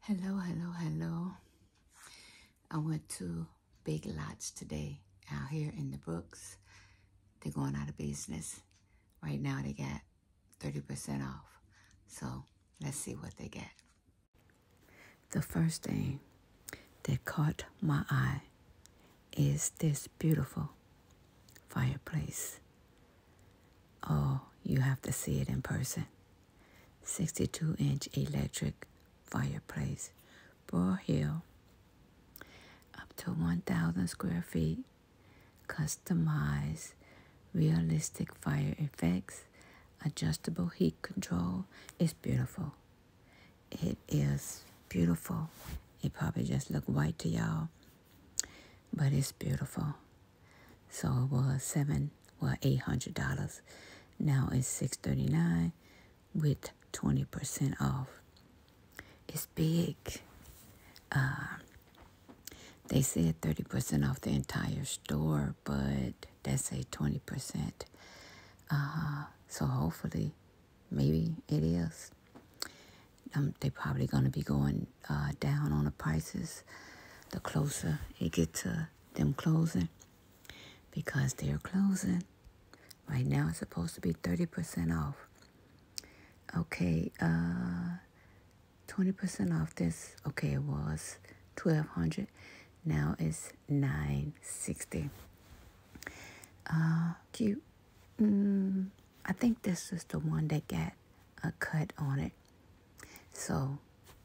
Hello, hello, hello. I went to Big Lots today out here in the Brooks. They're going out of business. Right now they got 30% off. So let's see what they get. The first thing that caught my eye is this beautiful fireplace. Oh, you have to see it in person. 62 inch electric fireplace, Boar Hill, up to 1,000 square feet, customized realistic fire effects, adjustable heat control. It's beautiful. It is beautiful. It probably just look white to y'all, but it's beautiful. So it was seven, well, eight hundred dollars. Now it's six thirty nine with twenty percent off. It's big. Uh, they said thirty percent off the entire store, but that's a twenty percent. Uh, so hopefully, maybe it is. Um, they probably gonna be going uh, down on the prices the closer it get to them closing because they're closing. Right now it's supposed to be 30% off. Okay, uh, 20% off this, okay, it was 1200 Now it's 960 Uh, cute. Mm, I think this is the one they get a cut on it. So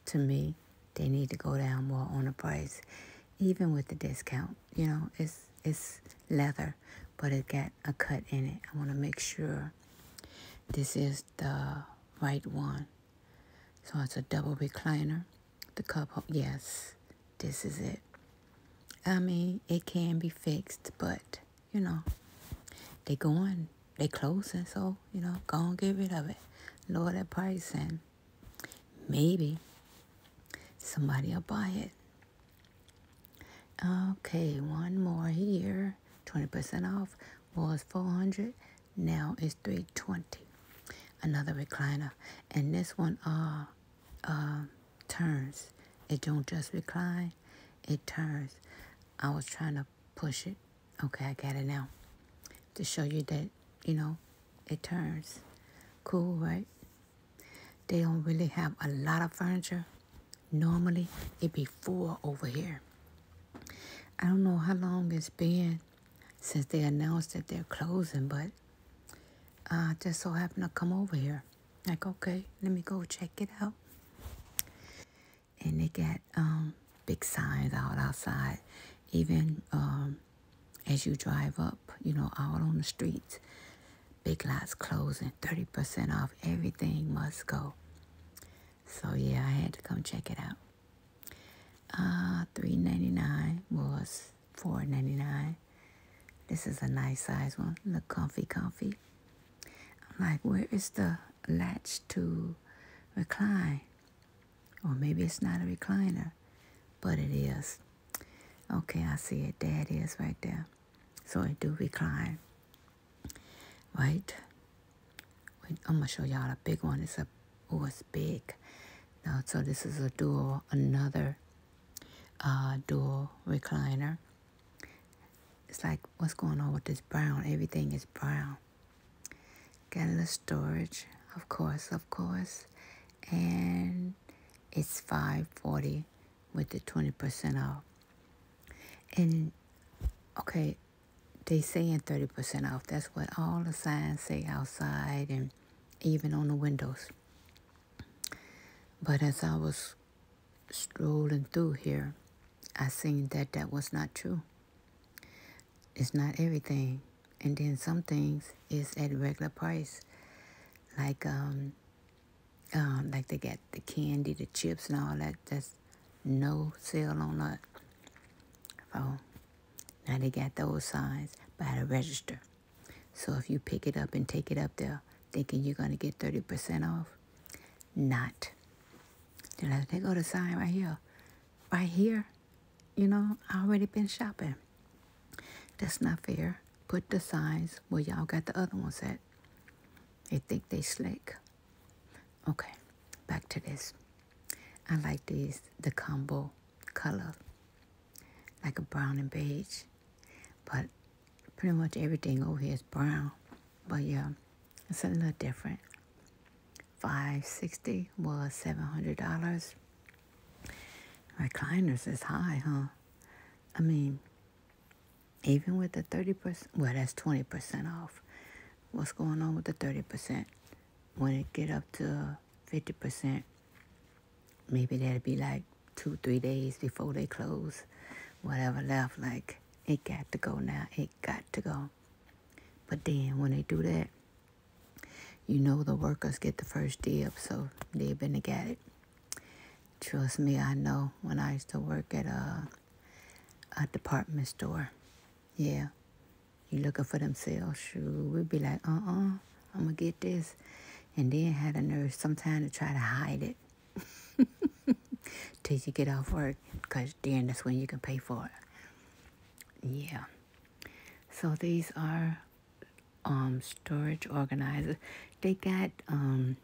to me, they need to go down more on the price, even with the discount. You know, it's it's leather, but it got a cut in it. I want to make sure this is the right one. So it's a double recliner. The cup, yes, this is it. I mean, it can be fixed, but you know, they going, they closing, so, you know, go and get rid of it. Lower that price and maybe somebody will buy it. Okay, one more here. 20% off was 400 now it's 320 another recliner and this one uh uh turns it don't just recline it turns i was trying to push it Okay, I got it now. To show you that, you know, it turns. Cool, right? They don't really have a lot of furniture. Normally, it'd be full over here. I don't know how long it's been since they announced that they're closing, but I uh, just so happened to come over here. Like, okay, let me go check it out and they got um, big signs out outside, even um, as you drive up, you know, out on the streets. Big Lots closing, 30% off, everything must go. So yeah, I had to come check it out. Ah, three ninety nine was four ninety nine. This is a nice size one. Look comfy, comfy. I'm like, where is the latch to recline? Or maybe it's not a recliner, but it is. Okay, I see it. There it is right there. So I do recline. Right? Wait, I'm gonna show y'all a big one. It's a oh, it's big. Now, so this is a dual, another uh, dual recliner. It's like, what's going on with this brown? Everything is brown. Got a little storage, of course, of course. And it's 540 with the 20% off. And, okay, they saying 30% off. That's what all the signs say outside and even on the windows. But as I was strolling through here, I seen that that was not true. It's not everything. And then some things is at regular price. Like um, um like they got the candy, the chips and all that. That's no sale on that. Oh, now they got those signs by the register. So if you pick it up and take it up there thinking you're going to get 30% off, not. You I take go to sign right here. Right here, you know, I already been shopping. That's not fair. Put the signs where y'all got the other ones at. They think they slick. Okay, back to this. I like these, the combo color, like a brown and beige. But pretty much everything over here is brown. But yeah, it's a little different. 560 was $700. My Recliners is high, huh? I mean, even with the 30%, well, that's 20% off. What's going on with the 30%? When it get up to 50%, maybe that'll be like two, three days before they close whatever left. Like, it got to go now. It got to go. But then when they do that, you know the workers get the first dib, so they been to get it. Trust me, I know when I used to work at a, uh, a department store. Yeah, you looking for them sales shoes. We'd be like, uh-uh, I'm going to get this. And then had a nurse sometime to try to hide it. Till you get off work, because then that's when you can pay for it. Yeah. So these are um, storage organizers. They got um,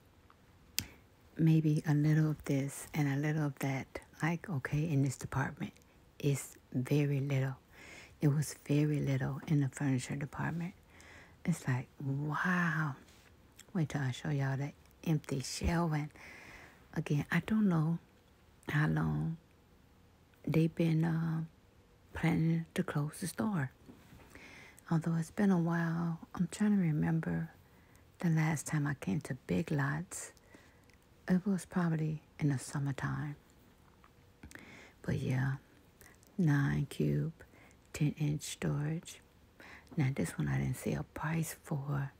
maybe a little of this and a little of that. Like, okay, in this department, it's very little. It was very little in the furniture department. It's like, wow. Wait till I show y'all that empty shell. And again, I don't know how long they've been uh, planning to close the store. Although it's been a while, I'm trying to remember the last time I came to Big Lots. It was probably in the summertime. But yeah, 9 cube, 10 inch storage. Now this one I didn't see a price for,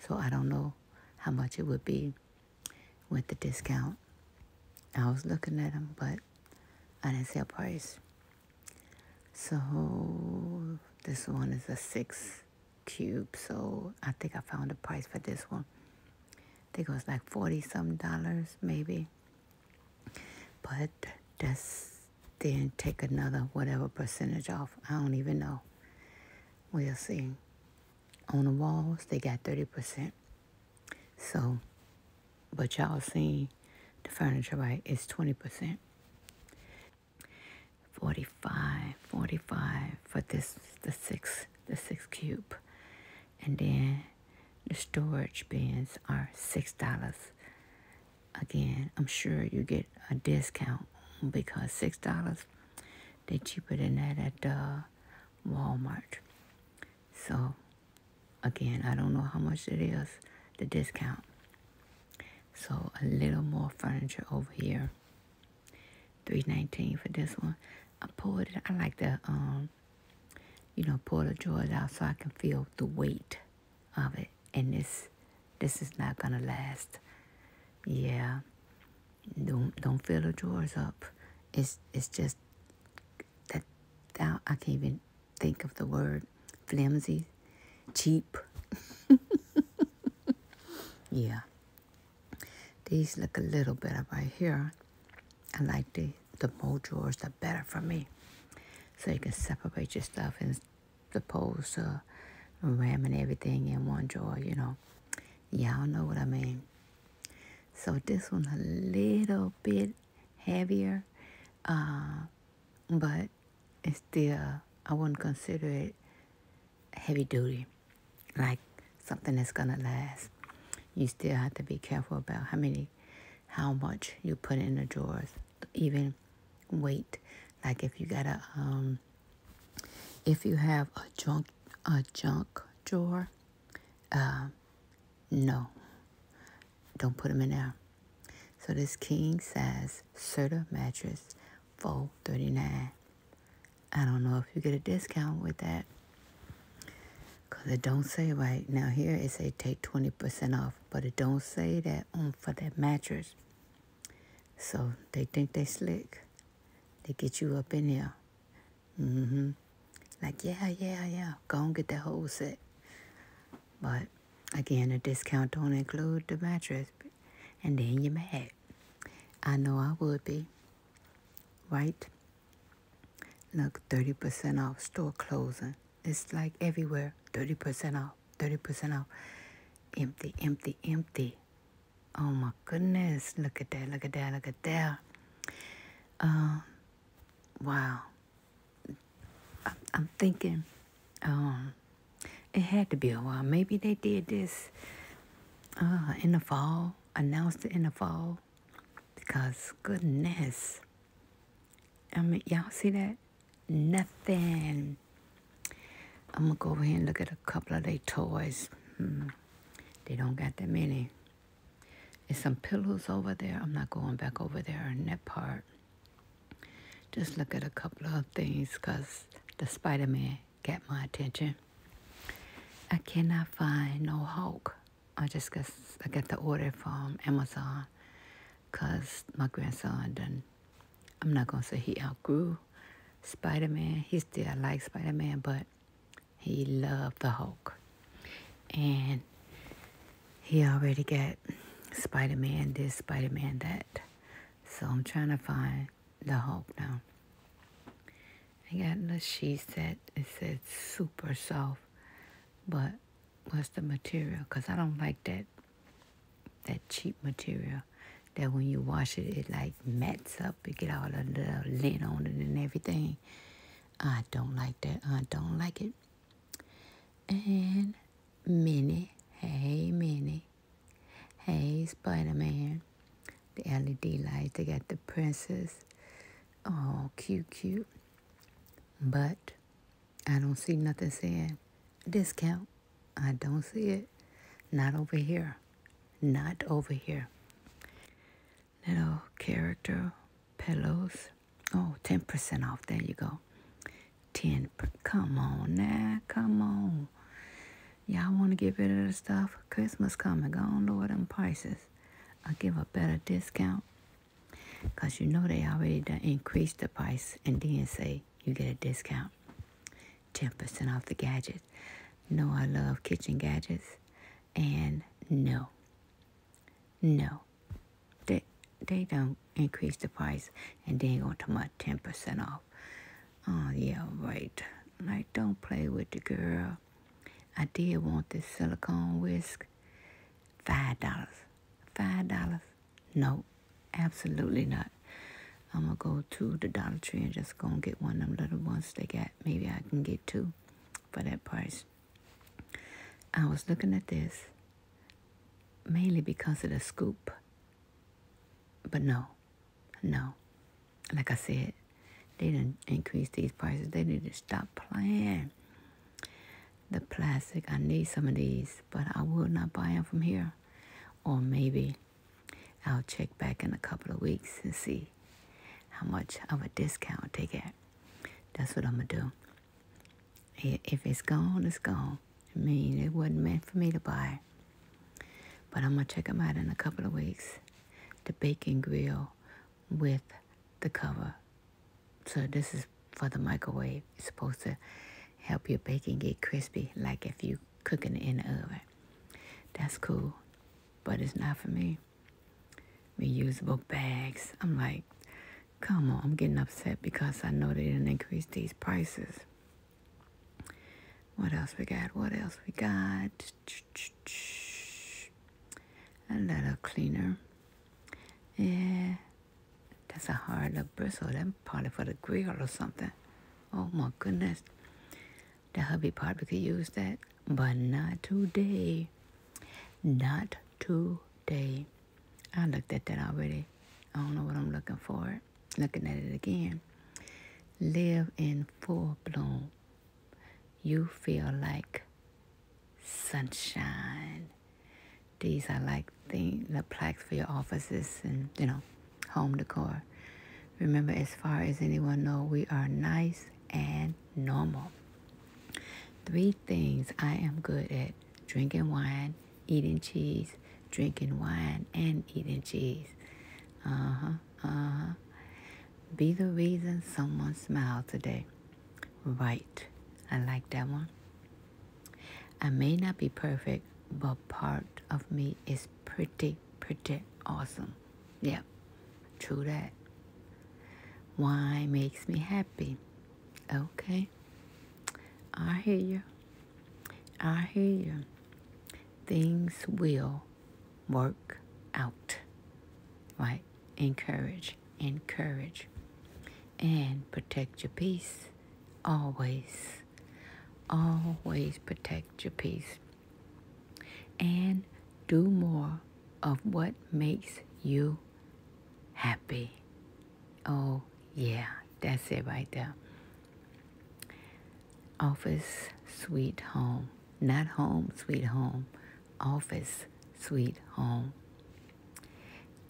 so I don't know how much it would be with the discount. I was looking at them, but I didn't see a price. So this one is a six cube, so I think I found a price for this one. I think it was like forty some dollars maybe. But that's then take another whatever percentage off. I don't even know. We'll see. On the walls, they got 30%. So, but y'all seen the furniture, right? It's 20%. 45, 45 for this, the six, the six cube. And then the storage bins are $6. Again, I'm sure you get a discount because six dollars they're cheaper than that at uh, Walmart. So again, I don't know how much it is the discount. So a little more furniture over here. 319 for this one. I pulled it. I like to um you know pull the drawers out so I can feel the weight of it and this this is not gonna last yeah don't don't fill the drawers up it's it's just that i can't even think of the word flimsy cheap yeah these look a little better right here i like the the more drawers the better for me so you can separate your stuff and the pulsa, uh, ramming everything in one drawer, you know. Y'all know what I mean. So this one a little bit heavier, uh, but it's still, I wouldn't consider it heavy duty, like something that's gonna last. You still have to be careful about how many, how much you put in the drawers even weight. Like if you got a um, if you have a junk a junk drawer, uh, no, don't put them in there. So this king size Serta mattress, four thirty nine. I don't know if you get a discount with that. Cause it don't say right now. Here it say take twenty percent off but it don't say that on um, for that mattress. So they think they slick. They get you up in there, Mm-hmm. Like, yeah, yeah, yeah. Go and get that whole set. But again, the discount don't include the mattress. And then you're mad. I know I would be. Right? Look, 30% off store closing. It's like everywhere 30% off, 30% off. Empty, empty, empty. Oh my goodness. Look at that, look at that, look at that. Um, wow. I, I'm thinking um, it had to be a while. Maybe they did this uh, in the fall, announced it in the fall because goodness. I mean, y'all see that? Nothing. I'm gonna go over here and look at a couple of their toys. Hmm. They don't got that many. There's some pillows over there. I'm not going back over there in that part. Just look at a couple of things because the Spider-Man got my attention. I cannot find no Hulk. I just got, I got the order from Amazon because my grandson done, I'm not going to say he outgrew Spider-Man. He still like Spider-Man, but he loved the Hulk. And he already got Spider-Man this, Spider-Man that. So I'm trying to find the Hulk now. I got the sheet set. It said super soft, but What's the material because I don't like that that cheap material that when you wash it it like mats up it get all of the lint on it and everything I don't like that I don't like it and Minnie hey Minnie hey Spider-Man the LED lights they got the princess oh cute cute but I don't see nothing saying discount. I don't see it. Not over here. Not over here. Little character pillows. Oh, ten percent off. There you go. 10 Come on now. Come on. Y'all want to get rid of the stuff? Christmas coming. Go on lower them prices. i give a better discount. Because you know they already done increased the price and then say you get a discount. 10% off the gadgets. No, I love kitchen gadgets. And no. No. They, they don't increase the price and then go to my 10% off. Oh, yeah, right. Like, don't play with the girl. I did want this silicone whisk. Five dollars. Five dollars. No, absolutely not. I'm gonna go to the Dollar Tree and just gonna get one of them little ones they got. Maybe I can get two for that price. I was looking at this mainly because of the scoop. But no, no. Like I said, they didn't increase these prices. They didn't stop playing. The plastic, I need some of these but I will not buy them from here. Or maybe I'll check back in a couple of weeks and see how much of a discount they get. That's what I'm going to do. If it's gone, it's gone. I mean, it wasn't meant for me to buy. But I'm going to check them out in a couple of weeks. The Bacon Grill with the cover so this is for the microwave. It's supposed to help your bacon get crispy, like if you cooking it in the oven. That's cool, but it's not for me. Reusable bags. I'm like, come on, I'm getting upset because I know they didn't increase these prices. What else we got? What else we got? A letter cleaner. Yeah, that's a hard little bristle. That probably for the grill or something. Oh my goodness. The hubby probably could use that, but not today. Not today. I looked at that already. I don't know what I'm looking for. Looking at it again. Live in full bloom. You feel like sunshine. These are like the, plaques for your offices and, you know, home decor. Remember, as far as anyone know, we are nice and normal. Three things I am good at. Drinking wine, eating cheese, drinking wine, and eating cheese. Uh-huh, uh-huh. Be the reason someone smiled today. Right. I like that one. I may not be perfect, but part of me is pretty, pretty awesome. Yeah, true that. Wine makes me happy? Okay. I hear you. I hear you. Things will work out. Right? Encourage. Encourage and protect your peace always. Always protect your peace. And do more of what makes you happy. Oh, yeah, that's it right there. Office, sweet home. Not home, sweet home. Office, sweet home.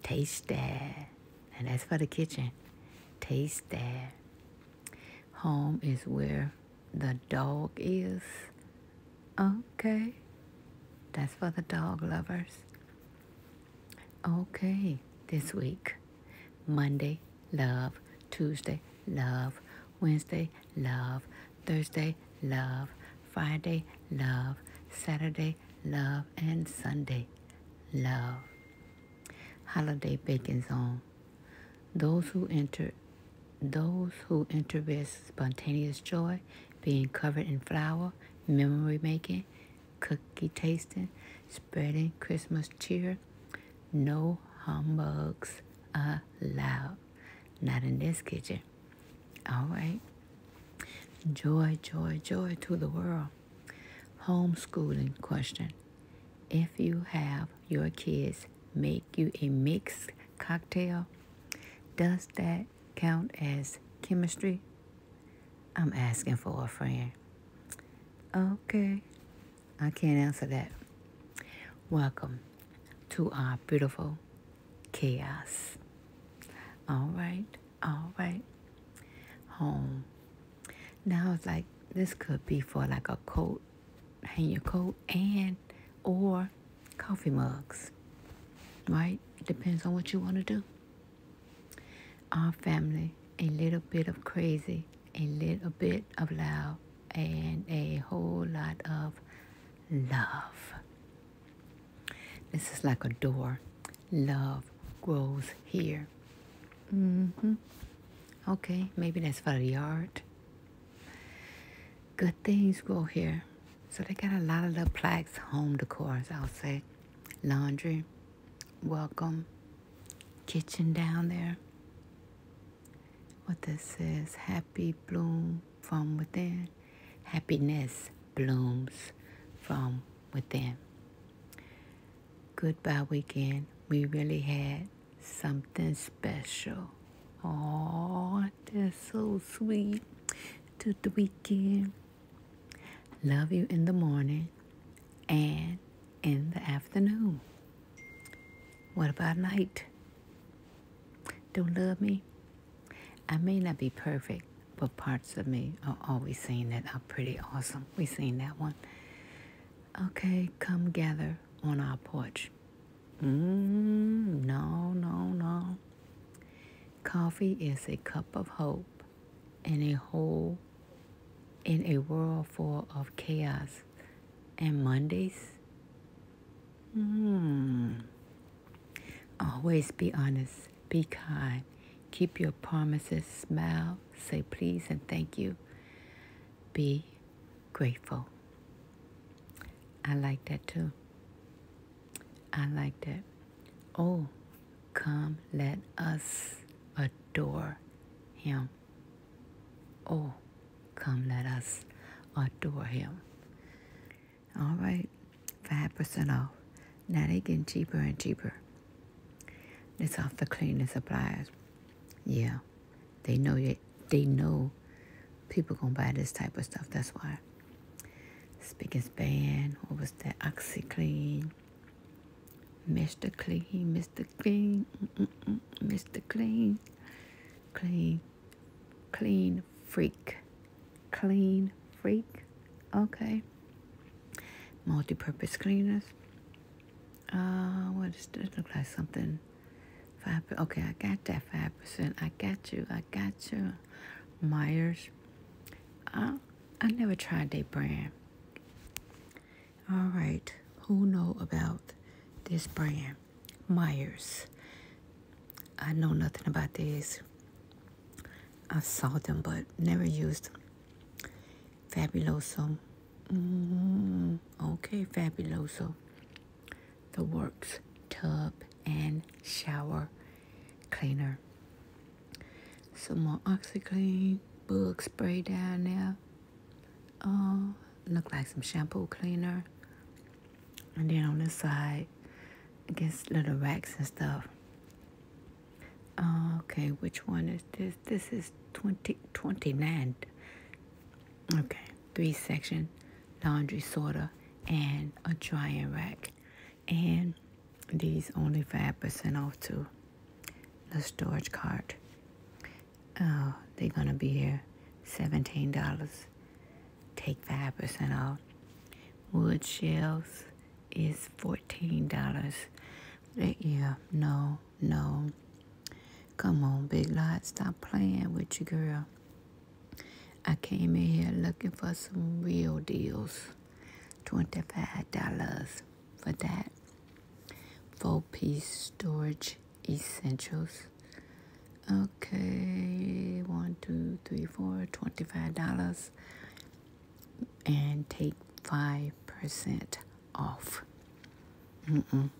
Taste that. And that's for the kitchen. Taste that. Home is where the dog is. Okay. That's for the dog lovers. Okay. This week, Monday, love. Tuesday, love. Wednesday, love. Thursday, love. Friday, love. Saturday, love. And Sunday, love. Holiday baking zone. Those who enter those who enter with spontaneous joy, being covered in flour, memory making, cookie tasting, spreading Christmas cheer, no humbugs allowed. Not in this kitchen. All right. Joy, joy, joy to the world. Homeschooling question. If you have your kids make you a mixed cocktail, does that count as chemistry? I'm asking for a friend. Okay, I can't answer that. Welcome to our beautiful chaos. All right, all right. Home. Now it's like this could be for like a coat, hang your coat and or coffee mugs. Right? Depends on what you want to do. Our family, a little bit of crazy, a little bit of love, and a whole lot of love. This is like a door. Love grows here. Mm-hmm. Okay, maybe that's for the yard. Good things grow here. So they got a lot of little plaques, home decor. I'll say. Laundry, welcome, kitchen down there. What this is, happy bloom from within, happiness blooms from within. Goodbye weekend. We really had something special. Oh, that's so sweet. To the weekend. Love you in the morning and in the afternoon. What about night? Don't love me? I may not be perfect, but parts of me are always saying that I'm pretty awesome. We have seen that one. Okay, come gather on our porch. Mm, no, no, no. Coffee is a cup of hope in a hole, in a world full of chaos. And Mondays? Hmm. Always be honest, be kind, keep your promises, smile, say please and thank you. Be grateful. I like that too. I like that. Oh, come let us adore him. Oh, come let us adore him. All right, 5% off. Now they getting cheaper and cheaper. It's off the cleaning supplies. Yeah, they know that they know people gonna buy this type of stuff. That's why. Spick and span. What was that? Oxy clean. Mr. Clean, Mr. Clean, Mr. Clean, Clean clean freak clean freak okay multi-purpose cleaners uh what does it look like something five percent. okay i got that five percent i got you i got you myers i uh, i never tried that brand all right who know about this brand myers I know nothing about these. I saw them, but never used them. Fabuloso. Mm, okay, Fabuloso. The Works Tub and Shower Cleaner. Some more OxyClean. Bug spray down there. Oh, look like some shampoo cleaner. And then on the side, I guess little racks and stuff. Uh, okay, which one is this? This is 20, 29. Okay, three section laundry sorter and a drying rack. And these only 5% off too. The storage cart. Uh, they're gonna be here $17. Take 5% off. Wood shelves is $14. Yeah, no, no. Come on, Big Lot, stop playing with you, girl. I came in here looking for some real deals. $25 for that. Four-piece storage essentials. Okay, one, two, three, four, twenty-five dollars, and take five percent off. Mm mm.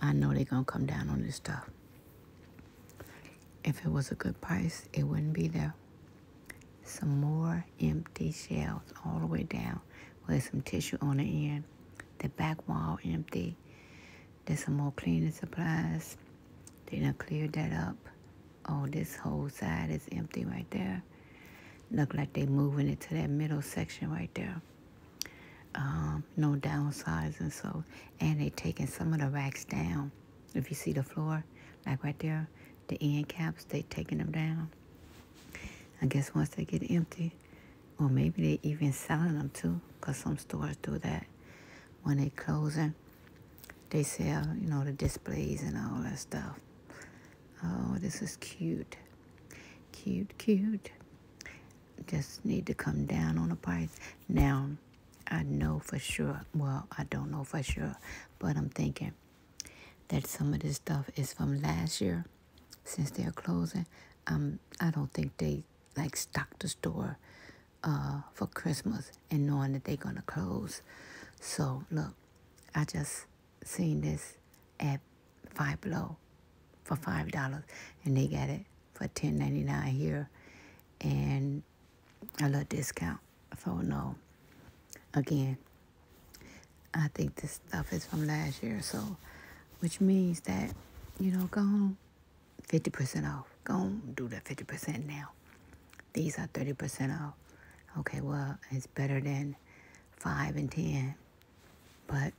I know they're gonna come down on this stuff. If it was a good price, it wouldn't be there. Some more empty shells all the way down with some tissue on the end. The back wall empty. There's some more cleaning supplies. They're gonna clear that up. Oh, this whole side is empty right there. Look like they are moving it to that middle section right there. Um, no downsizing, so and they are taking some of the racks down. If you see the floor, like right there, the end caps, they are taking them down. I guess once they get empty, or maybe they even selling them too, because some stores do that when they closing, they sell, you know, the displays and all that stuff. Oh, this is cute. Cute, cute. Just need to come down on the price. Now, I know for sure. Well, I don't know for sure, but I'm thinking that some of this stuff is from last year since they're closing. Um, I don't think they like stock the store uh, for Christmas and knowing that they're going to close. So, look, I just seen this at Five Below for $5, and they got it for ten ninety nine here, and a little discount. So, no, again, I think this stuff is from last year, so which means that, you know, go home, 50% off. Go on, do that 50% now. These are 30% off. Okay, well, it's better than 5 and 10. But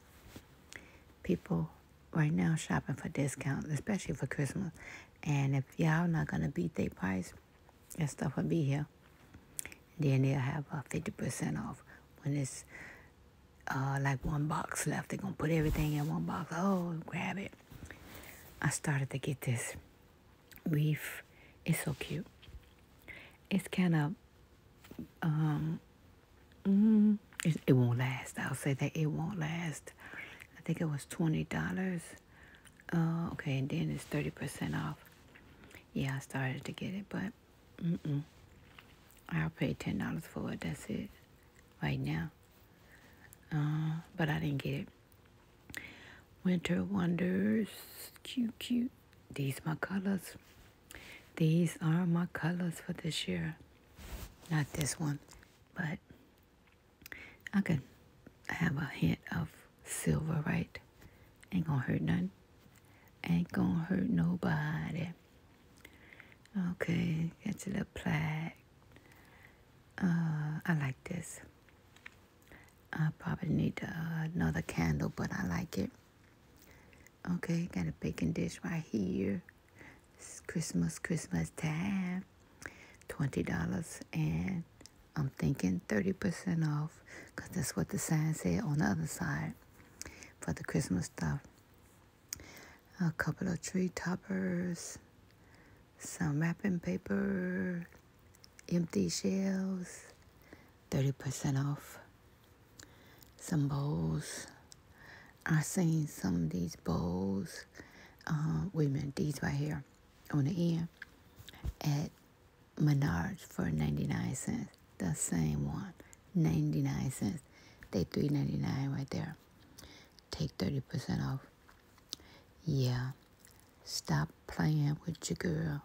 people right now shopping for discounts, especially for Christmas. And if y'all not going to beat their price, that stuff will be here. Then they'll have a 50% off when it's uh, like one box left. they going to put everything in one box. Oh, grab it. I started to get this weave. It's so cute. It's kind of, um, mm, it, it won't last. I'll say that it won't last. I think it was $20. Uh, okay, and then it's 30% off. Yeah, I started to get it, but mm-mm. I'll pay $10 for it. That's it right now. Uh, but I didn't get it. Winter Wonders. Cute, cute. These my colors. These are my colors for this year. Not this one, but I could have a hint of silver, right? Ain't gonna hurt none. Ain't gonna hurt nobody. Okay, that's a little plaque. Uh, I like this. I probably need uh, another candle, but I like it. Okay, got a baking dish right here. It's Christmas, Christmas time. $20 and I'm thinking 30% off because that's what the sign said on the other side for the Christmas stuff a couple of tree toppers, some wrapping paper, empty shells, 30% off, some bowls. I've seen some of these bowls, uh, wait a minute, these right here on the end at Menards for 99 cents. The same one, 99 cents. They 3.99 right there. Take 30% off. Yeah. Stop playing with your girl.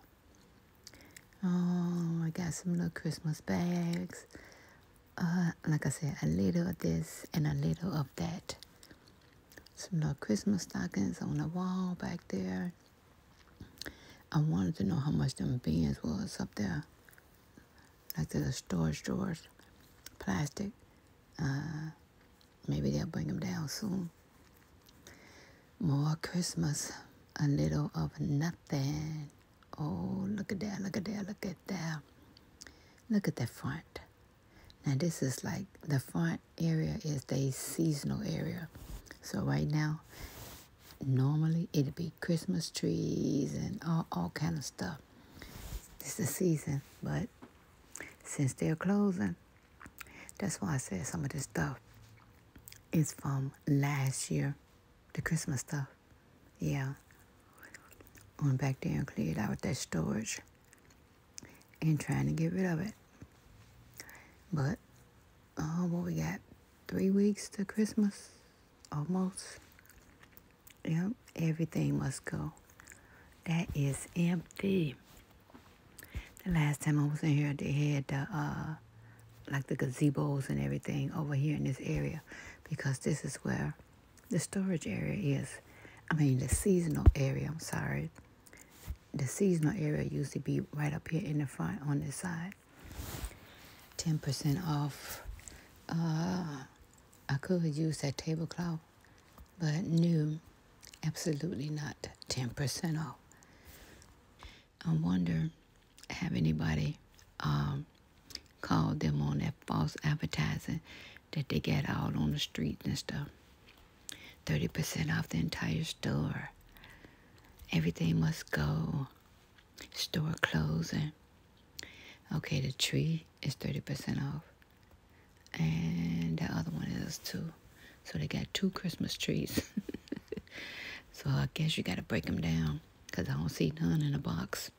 Oh, I got some little Christmas bags. Uh, like I said, a little of this and a little of that. Some little Christmas stockings on the wall back there. I wanted to know how much them beans was up there like the storage drawers, plastic. Uh, maybe they'll bring them down soon. More Christmas, a little of nothing. Oh, look at that, look at that, look at that. Look at that front. Now this is like, the front area is the seasonal area. So right now, normally it'd be Christmas trees and all, all kind of stuff it's the season. But since they're closing, that's why I said some of this stuff is from last year, the Christmas stuff. Yeah. Went back there and cleared out that storage and trying to get rid of it. But, oh, what we got? Three weeks to Christmas, almost. Yep, everything must go. That is empty. The last time I was in here, they had the, uh, like the gazebos and everything over here in this area because this is where the storage area is. I mean, the seasonal area, I'm sorry. The seasonal area used to be right up here in the front on this side. 10% off. Uh, I could use that tablecloth, but no, absolutely not 10% off. I wonder, have anybody um, called them on that false advertising that they get out on the street and stuff? 30% off the entire store. Everything must go store closing. Okay, the tree is 30% off. And the other one is too. So they got two Christmas trees. so I guess you got to break them down because I don't see none in a box.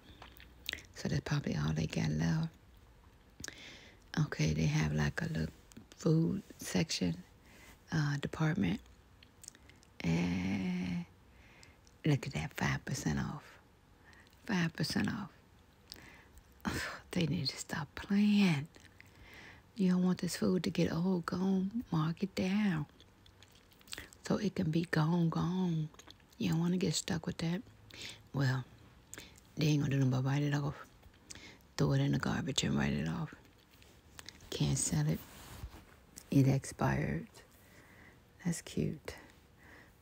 So that's probably all they got left. Okay, they have like a little food section uh, department. And look at that, 5% off. 5% off. they need to stop playing. You don't want this food to get old, gone, mark it down. So it can be gone, gone. You don't want to get stuck with that. Well, they ain't gonna do nothing but write it off. Throw it in the garbage and write it off. Can't sell it. It expired. That's cute.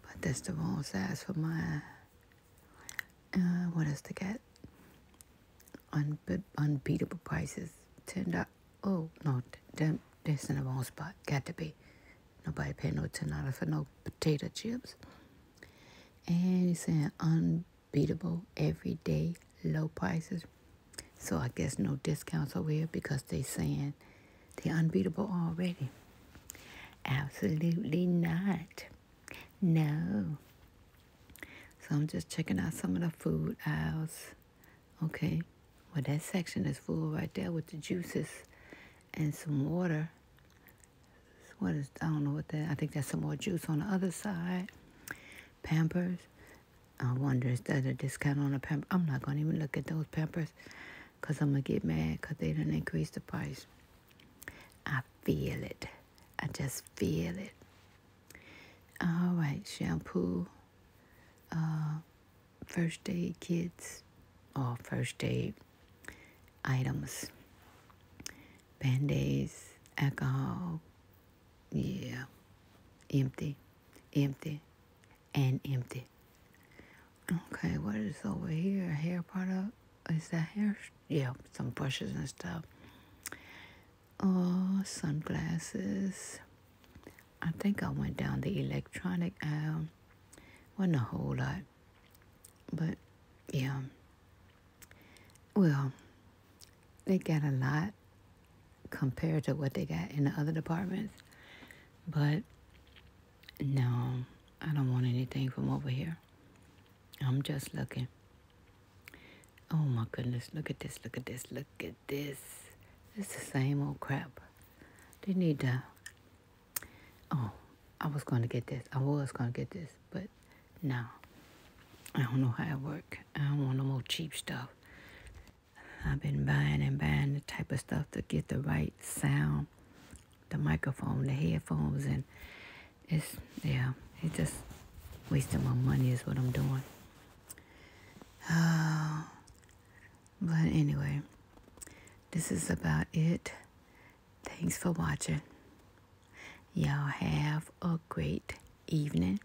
But that's the wrong size for my. Uh, what else to get? Unbe unbeatable prices. Ten dollars. Oh no, that, this in the wrong spot. Got to be. Nobody pay no ten dollars for no potato chips. And he's saying unbeatable everyday low prices. So I guess no discounts over here because they saying they're unbeatable already. Absolutely not. No. So I'm just checking out some of the food aisles. Okay. Well, that section is full right there with the juices and some water. What is, I don't know what that, I think that's some more juice on the other side. Pampers. I wonder, is that a discount on a pamper? I'm not going to even look at those pampers because I'm going to get mad because they didn't increase the price. I feel it. I just feel it. All right, shampoo, uh, first aid kits, or first aid items, band aids, alcohol, yeah, empty, empty, and empty. Okay, what is over here? Hair product? Is that hair? Yeah, some brushes and stuff. Oh, sunglasses. I think I went down the electronic aisle. Wasn't a whole lot. But, yeah. Well, they got a lot compared to what they got in the other departments. But no, I don't want anything from over here. I'm just looking. Oh my goodness, look at this, look at this, look at this. It's the same old crap. They need to. Oh, I was going to get this. I was going to get this, but no. I don't know how it work. I don't want no more cheap stuff. I've been buying and buying the type of stuff to get the right sound, the microphone, the headphones, and it's, yeah, it's just wasting my money is what I'm doing. Uh, but anyway, this is about it. Thanks for watching. Y'all have a great evening.